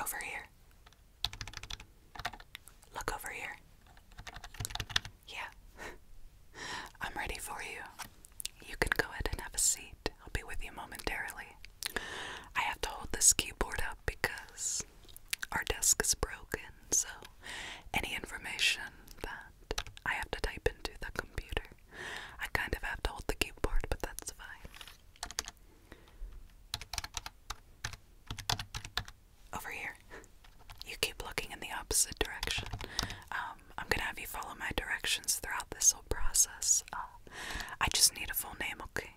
Over here. Look over here. Yeah. I'm ready for you. You can go ahead and have a seat. I'll be with you momentarily. I have to hold this keyboard up because our desk is broken, so any information that I have to type into the computer, I kind of have to hold the keyboard, but that's fine. Over here. You keep looking in the opposite direction. Um, I'm gonna have you follow my directions throughout this whole process. Um, I just need a full name, okay?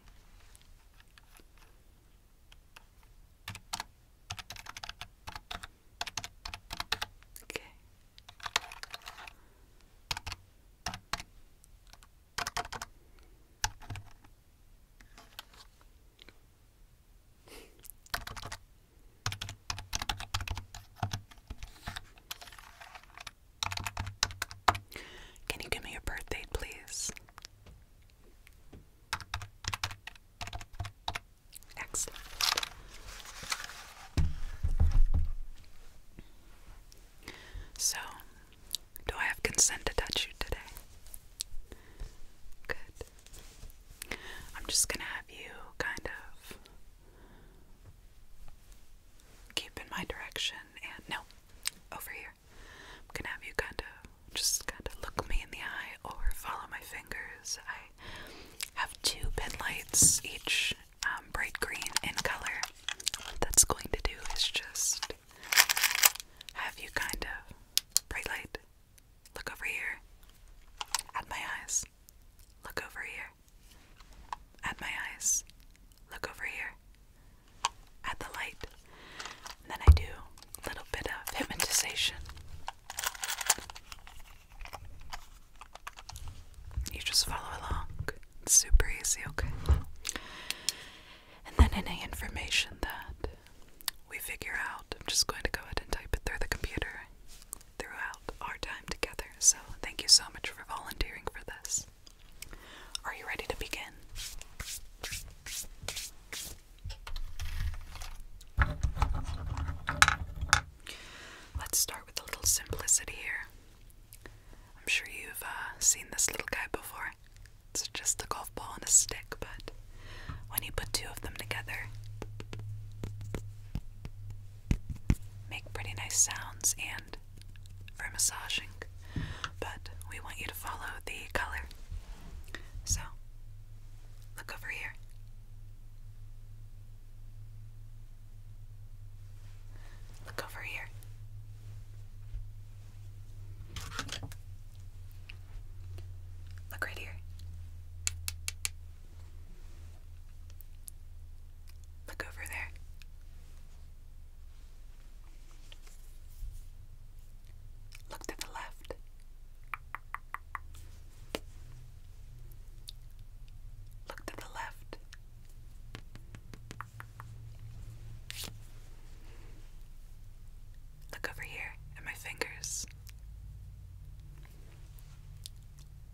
Okay. Can you give me your birth please? Excellent. So, do I have consent to touch you today? Good. I'm just gonna have you kind of keep in my direction no, over here. I'm gonna have you kind of just kind of look me in the eye or follow my fingers. I have two pin lights, each um, bright green in color. What that's going to do is just have you kind of bright light. Look over here at my eyes. Look over here. At my eyes. Look over here. At the light. And then I do a little bit of hypnotization. You just follow along. It's super easy, okay? And then any information that we figure out, I'm just going to go ahead and type it through the computer throughout our time together. So thank you so much for volunteering for this. Are you ready to begin? Let's start with a little simplicity here. I'm sure you've uh, seen this little guy before. It's just a golf ball and a stick, but when you put two of them together, make pretty nice sounds and for massaging, but we want you to follow the color. So, look over here. Look over here. Look right here. Look over there. Look to the left. Look to the left. Look over here at my fingers.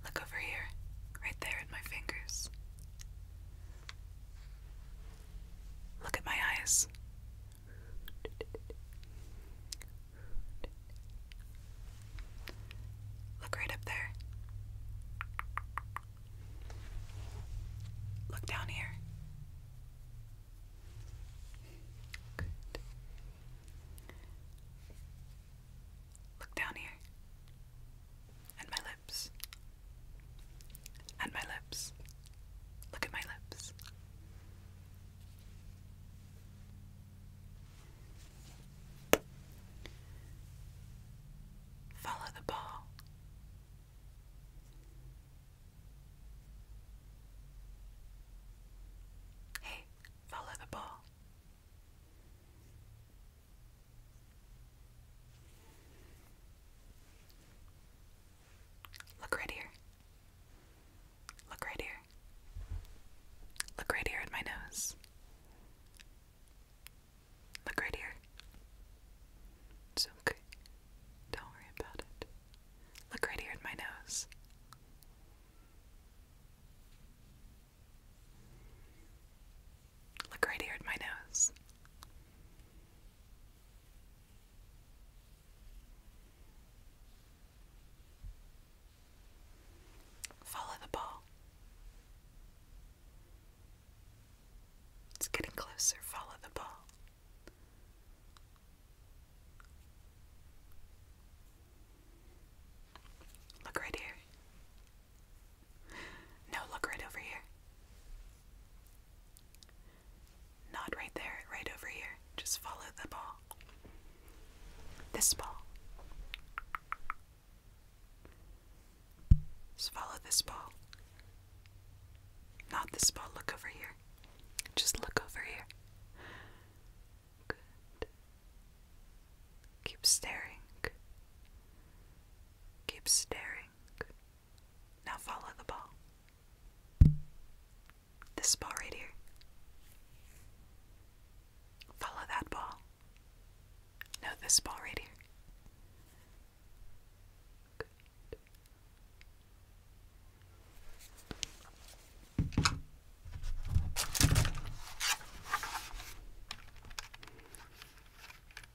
Look over here, right there at my fingers. Look at my eyes. Look right up there. Look down here. Look down here. And my lip. And my lips. Look at my lips. Follow the ball. Hey, follow the ball. Look right here. Look right here. Look right here at my nose. Look right here. It's okay. Don't worry about it. Look right here at my nose. Look right here at my nose. Follow the ball. It's getting closer. Follow the ball. Look right here. No, look right over here. Not right there, right over here. Just follow the ball. This ball. Just follow this ball. Not this ball, look over here. Just look over here. Good. Keep staring. Keep staring. Now follow the ball. This ball right here. Follow that ball. No, this ball right here.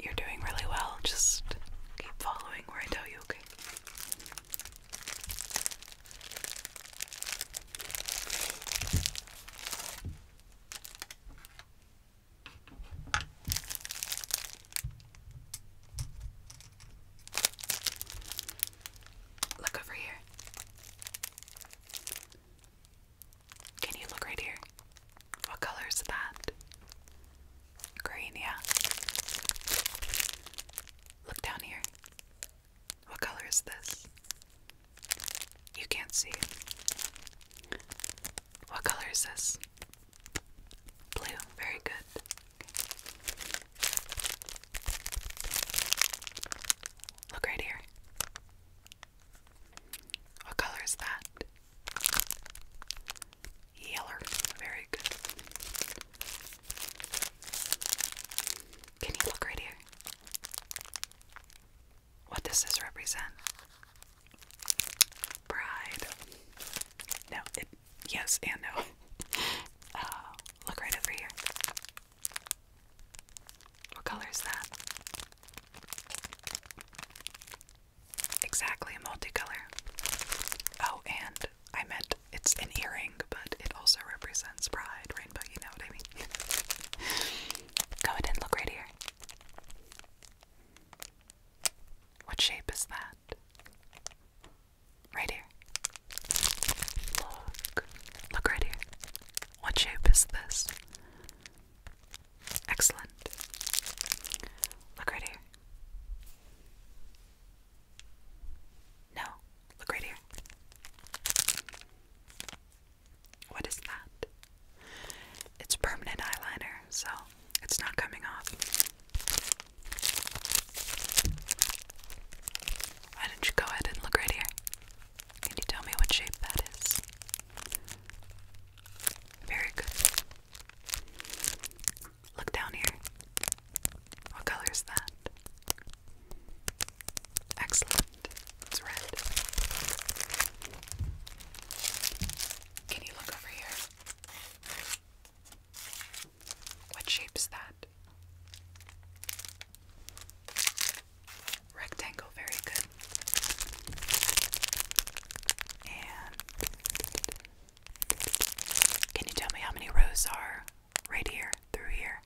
You're doing really well. Just keep following where I tell you, okay? Look over here. Can you look right here? What color is that? Green, yeah. Look down here. What color is this? You can't see. What color is this? Blue, very good. Look right here. What color is that? Yeller. Very good. Can you look right here? What does this represent? Pride. No, yes and no. Uh, look right over here. What color is that? Exactly, multicolor. Oh, and I meant it's an earring, but it also represents pride, rainbow, you know what I mean. Go ahead and look right here. What shape is that? Right here. Look. Look right here. What shape is this? Excellent. Look right here. No, look right here. What is that? It's permanent eyeliner, so it's not coming off. Why don't you go ahead and look right here? Can you tell me what shape that is? Very good. Look down here. What color is that? Excellent. It's red. Can you look over here? What shape is that? Rectangle, very good. And can you tell me how many rows are right here through here?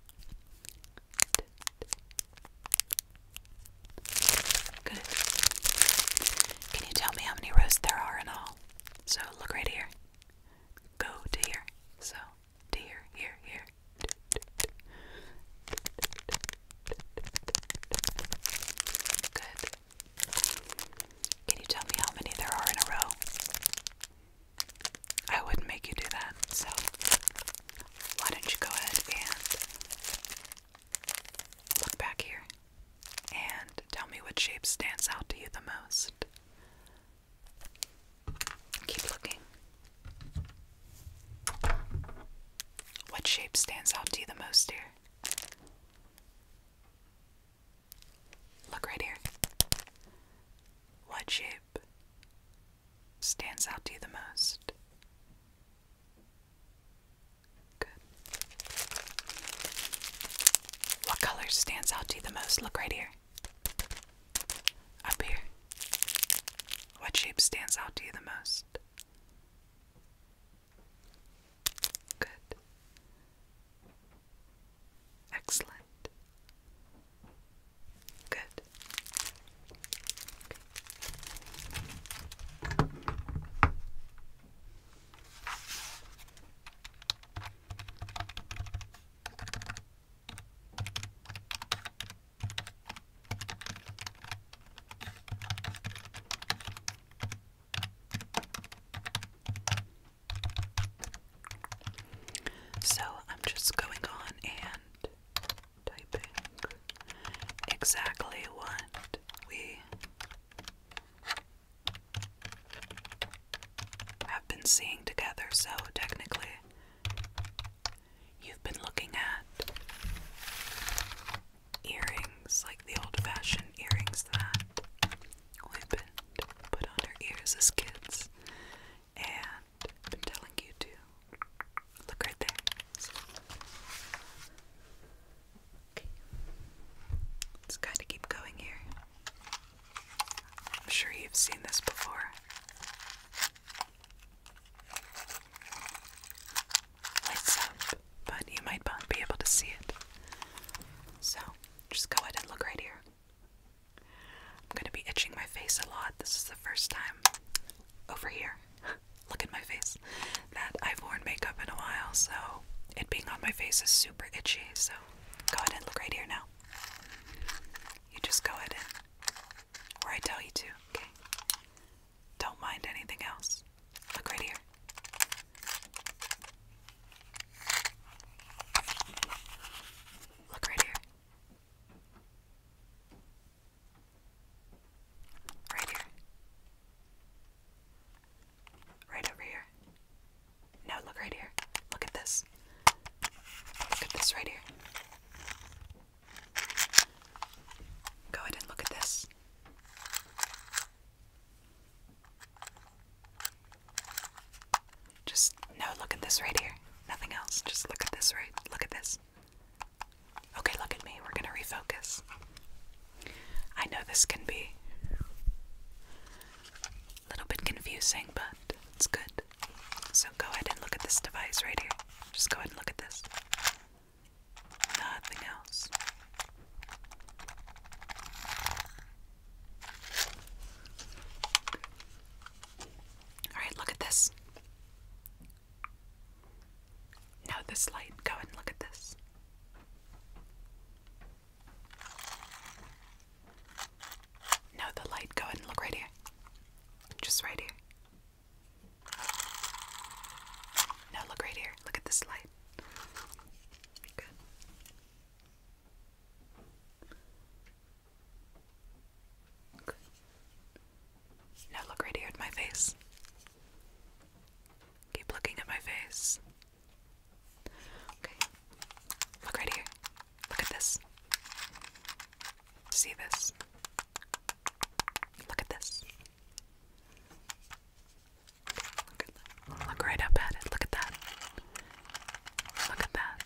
Good. Can you tell me how many rows there are in all? So look right here. Go to here. So here, here, here. Good. Can you tell me how many there are in a row? I wouldn't make you do that, so why don't you go ahead and look back here and tell me what shape stands out to you the most? Keep looking. What shape stands out to you the most, dear? Look right here. What shape stands out to you the most? Good. What color stands out to you the most? Look right here. Up here. What shape stands out to you the most? Good. Excellent. Good. So I'm just going on and typing exactly what we have been seeing together, so technically, you've been looking at earrings, like the old fashioned earrings that we've been put on our ears as kids, and I've been telling you to look right there. Okay. Let's kind of keep going here. I'm sure you've seen this before. Lights up, but you might not be able to see it. So just go ahead and look right here. I'm going to be itching my face a lot. This is the first time over here. Look at my face. That I've worn makeup in a while, so it being on my face is super itchy. So go ahead and look right here now. You just go ahead and where I tell you to, okay? Don't mind anything else. Look right here. Look right here. Right here. Right over here. No, look right here. Look at this. Look at this right here. Go ahead and look at this. Just no, look at this right here. Nothing else. Just look at this right. Look at this. Okay, look at me. We're going to refocus. I know this can be a little bit confusing, but it's good. So go ahead and look at this device right here. Just go ahead and look at this. Nothing else. Alright, look at this. Now, this light, go ahead and look at this. No, the light. Go ahead and look right here. Just right here. Now look right here. Look at this light. Good. Good. Now look right here at my face. Keep looking at my face. Okay. Look right here. Look at this. See this? Look at this. Look, at look right up at it. Look at that. Look at that.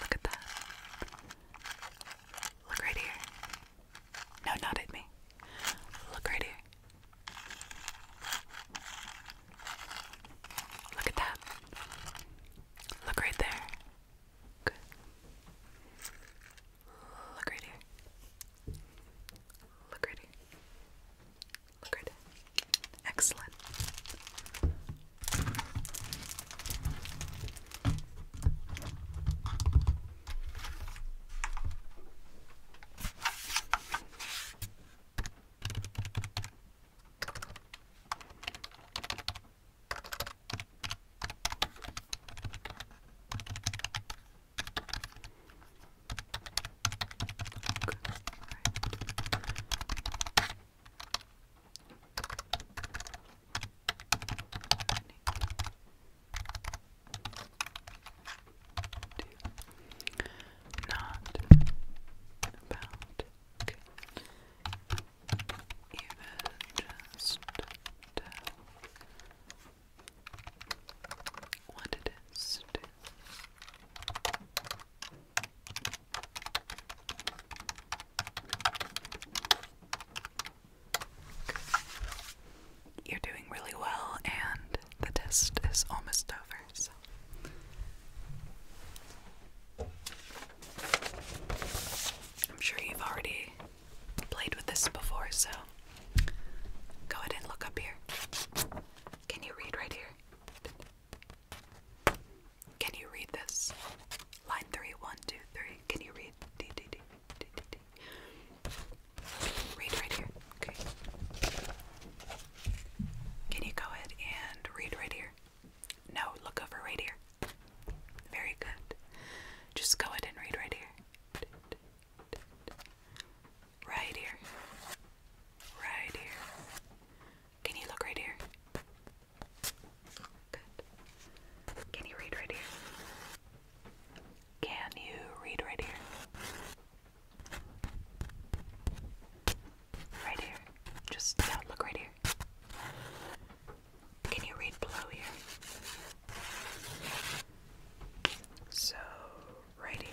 Look at that. Look right here. No, not at me. Look right here. Look at that. Look right there. Good. Look right here. Look right here. Look right here. Excellent. Not about even just tell what it is You're doing really well, and the test is almost over. I'm sure you've already played with this before, so go ahead and look up here. Can you read right here? Can you read this? Line three, one, two, three. Can you read? Read right here. Okay. Can you go ahead and read right here? No, look over right here. Very good. Just go ahead and read right here. Right here. Right here. Can you look right here? Can you read right here? Can you read right here? Right here. Just look right here. Can you read below here? So, right here.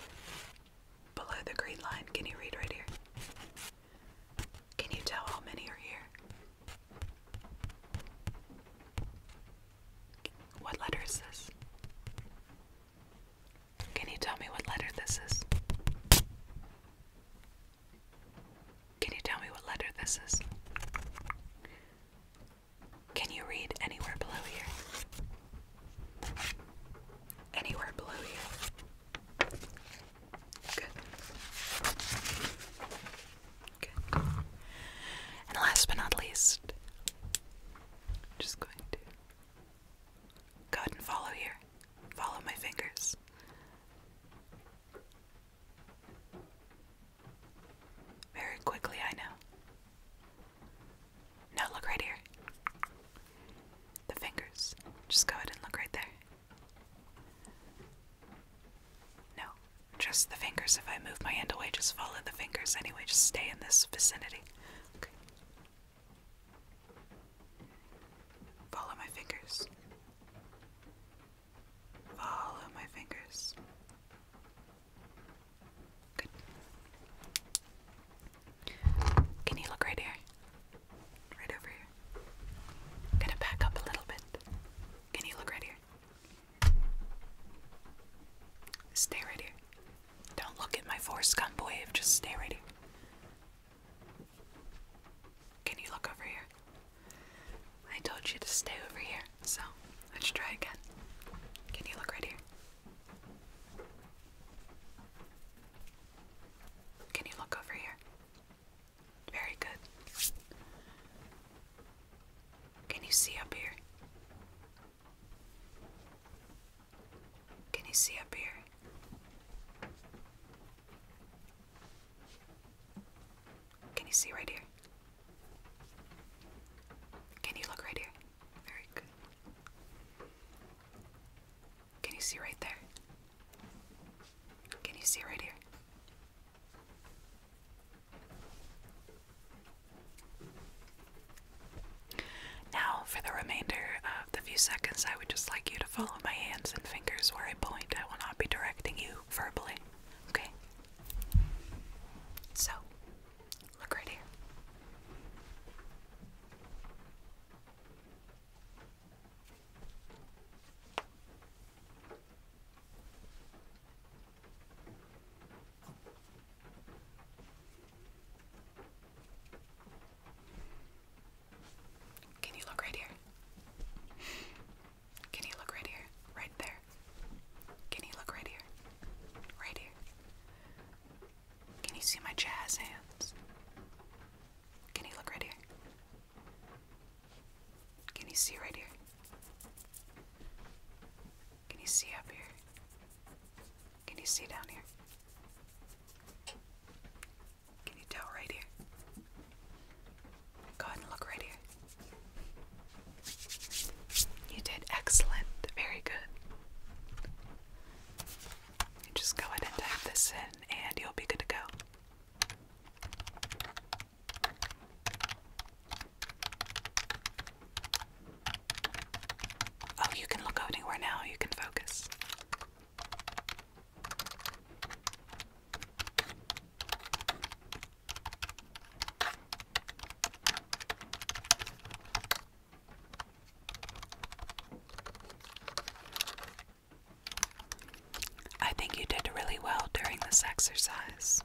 Below the green line, can you read right here? Can you tell how many are here? What letter is this? Can you tell me what letter this is? Can you tell me what letter this is? Can you read anywhere below here? Anywhere below here. Good. Good. And last but not least, I'm just going to Go ahead and follow here. Follow my fingers. Very quickly, I know. Now look right here. The fingers. Just go ahead and look right there. No, just the fingers. If I move my hand away, just follow the fingers anyway. Just stay in this vicinity. Okay. Follow my fingers. Follow my fingers. Good. Can you look right here? Right over here. gonna back up a little bit. Can you look right here? Stay right here. Don't look at my forescump boy. just stay right here. Can you look over here? I told you to stay over here, so let's try again. Can you look right here? Can you look over here? Very good. Can you see up here? Can you see up here? Can you see right here? Can you look right here? Very good. Can you see right there? Can you see right here? Now, for the remainder the few seconds, I would just like you to follow my hands and fingers where I point. I will not be directing you verbally. Okay? So, look right here. Can you look right here? Can you look right here? Right there. Can you look right here? Right here. Can you see my jazz hands? Can you look right here? Can you see right here? Can you see up here? Can you see down here? Can you tell right here? Go ahead and look right here. You did excellent. Very good. just go ahead and type this in and you'll be good to go. Oh, you can look anywhere now. You can focus. I think you did really well during this exercise.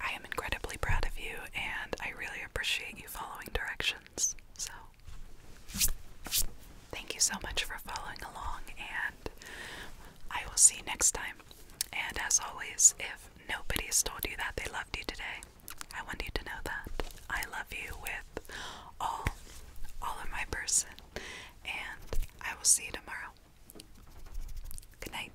I am incredibly proud of you and I really appreciate you following directions. So, thank you so much for following along, and I will see you next time. And as always, if nobody's told you that they loved you today, I want you to know that I love you with all all of my person. And I will see you tomorrow. Good night.